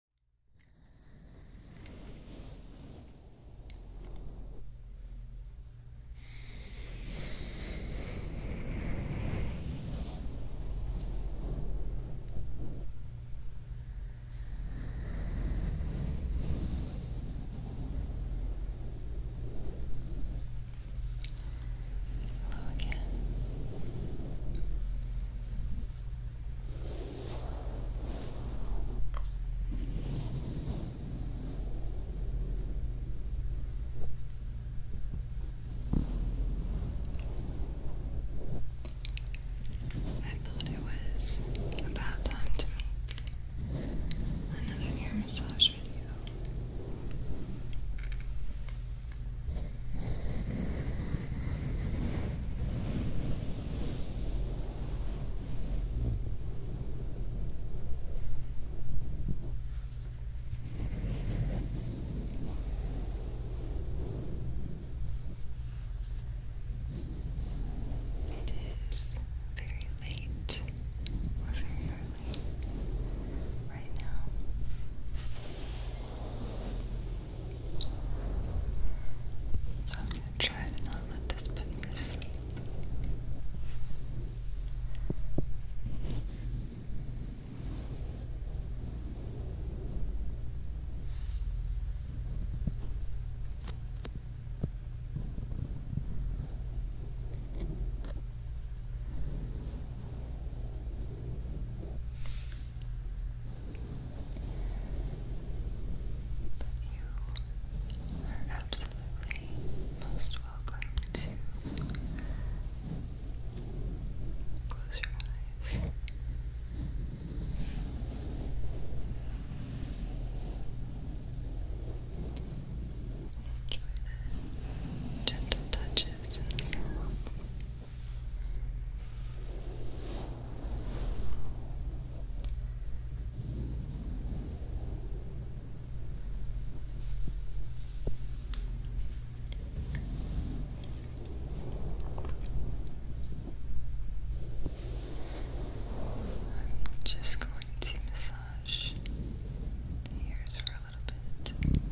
Hello again. I thought it was about time to make another hair massage video. It is very late. right now. So I'm going to try to not let this put me to sleep. But you are absolutely most welcome to close your eyes. Enjoy the gentle touches and sounds. I'm just going to massage the for a little bit.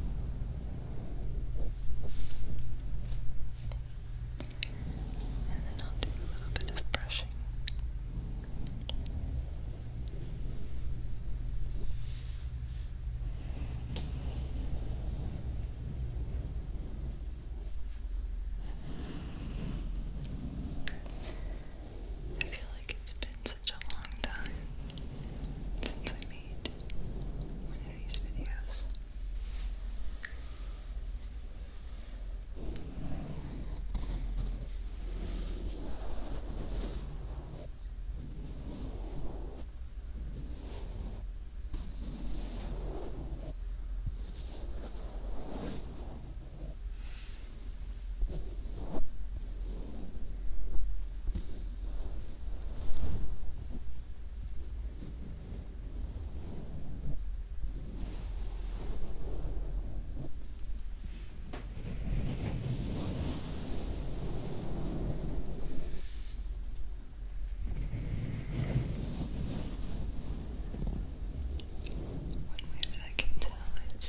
And then I'll do a little bit of brushing. I feel like it's been such a long time since I made one of these videos. One way that I can tell is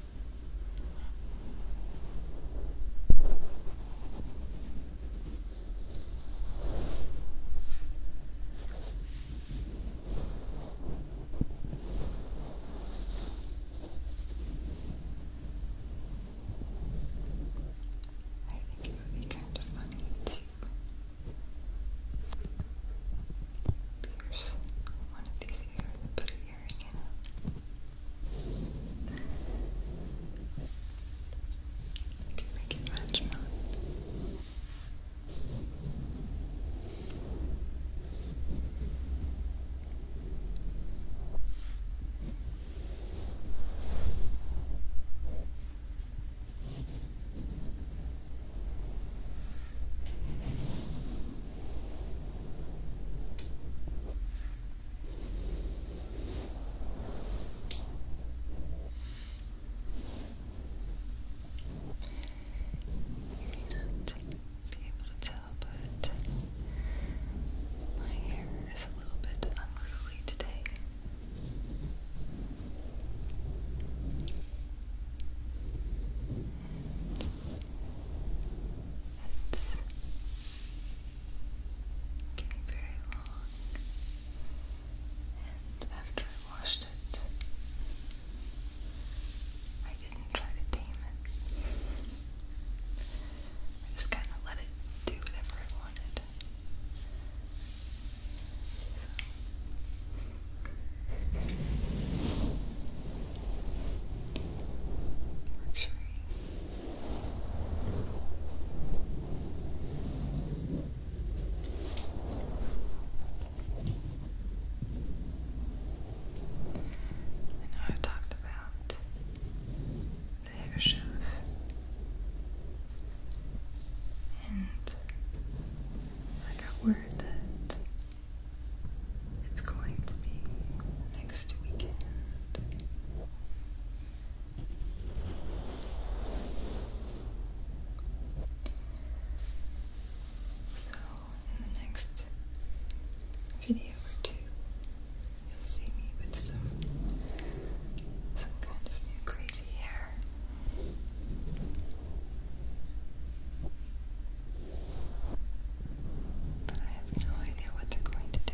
I think it would be kind of funny to pierce one of these here, put it here again. You can make it match not. You not be able to tell, but my hair is a little bit unruly today. It's getting very long, and after I washed it, I didn't try to tame it. I just kind of let it do whatever it wanted. That's right. I know I've talked about the hair shows and I got word that it's going to be next weekend. So, in the next video or two, you'll see me with some some kind of new crazy hair. But I have no idea what they're going to do.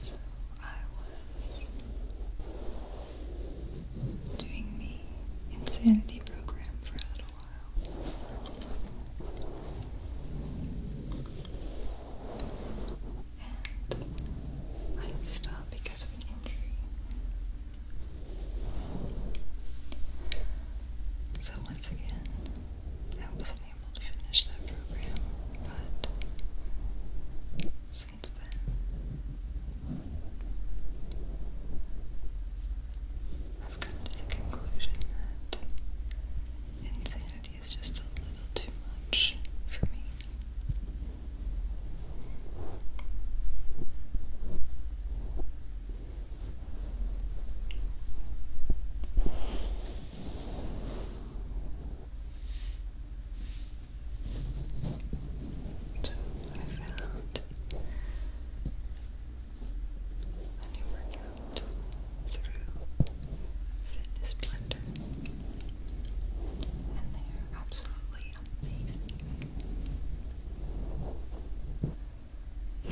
So I was doing the insanity program for a little and I stopped because of an injury. So once again, I wasn't able to finish that program, but since then, I've come to the conclusion that insanity is just a little too much for me. So I found and you work through Fitness Blender, and they are absolutely amazing. I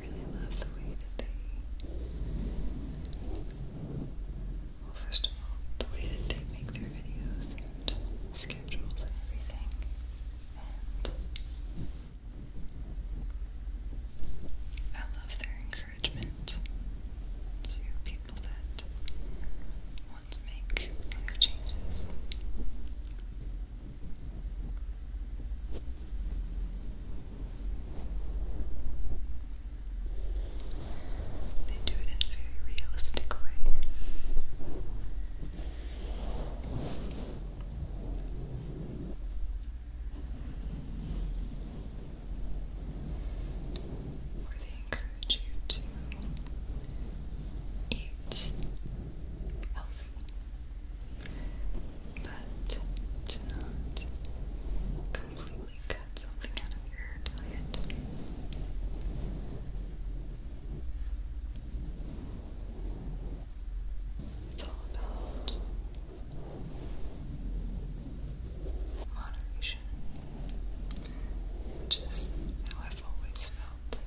really love the way that they well, first of all, the way that they make their videos and schedules and everything, I love their encouragement to people that want to make life changes. They do it in a very realistic way. Where they encourage you to eat healthy, but not completely it's all about moderation, which how I've always felt.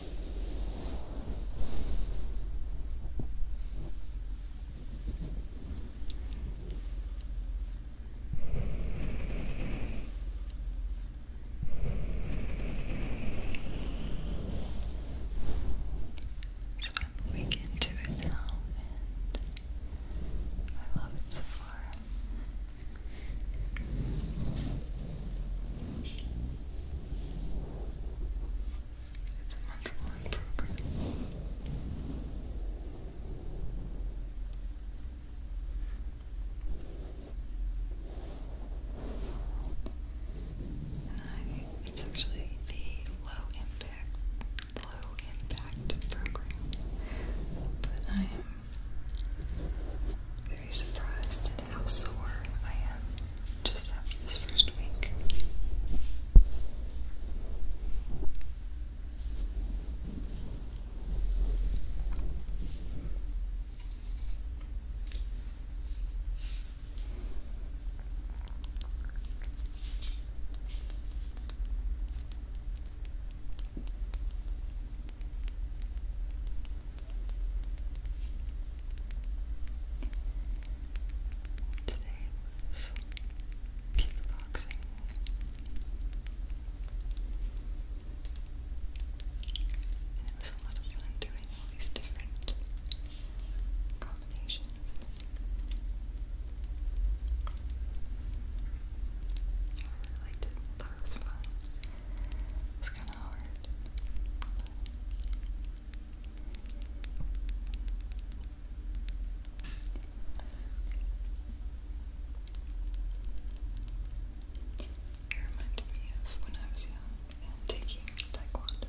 It's fun. We get to it now, and I love it so far. It's a much more And I, it's actually the low impact, low impact program, but I am very surprised at how sore I am just after this first week. Today was kickboxing. it was a lot of fun doing all these different combinations. I really like to was fun. It's kind of hard. It reminded me of when I was young and taking taekwondo.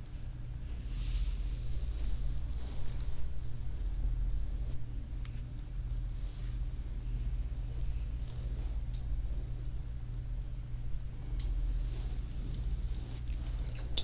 Such a soothing sound. Good.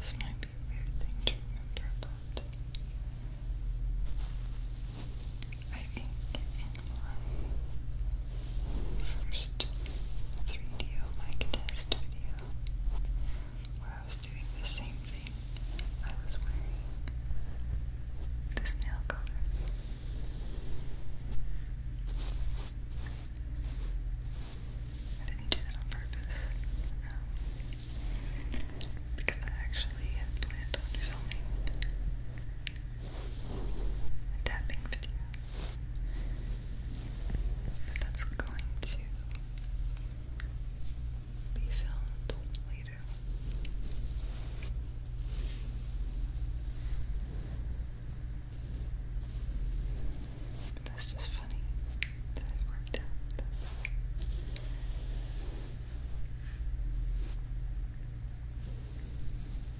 This might be a weird thing to remember, but I think in my first 3DO mic test video where I was doing the same thing. I was wearing this nail color. I didn't do that on purpose. Um, because I actually had planned on filming a tapping video that's going to be filmed later. that's just funny that it worked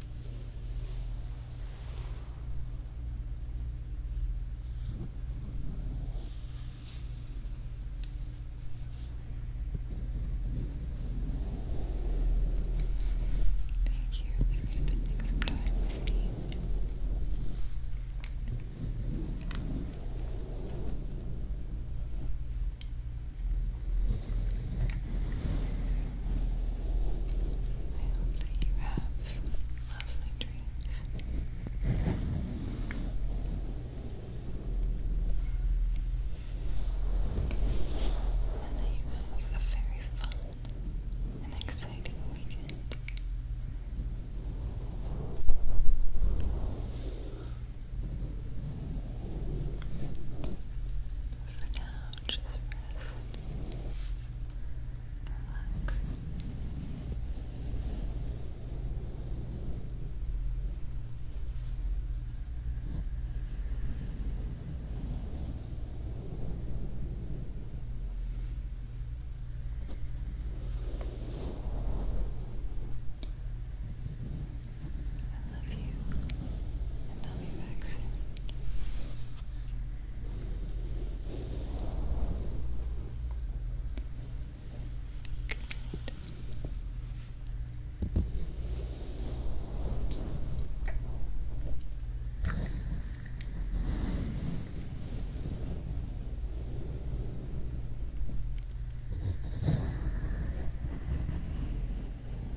Thank you for spending some time with me. I hope that you have lovely dreams. that you have a very fun and exciting weekend. For now, just rest relax. I love you, and I'll be back soon. Good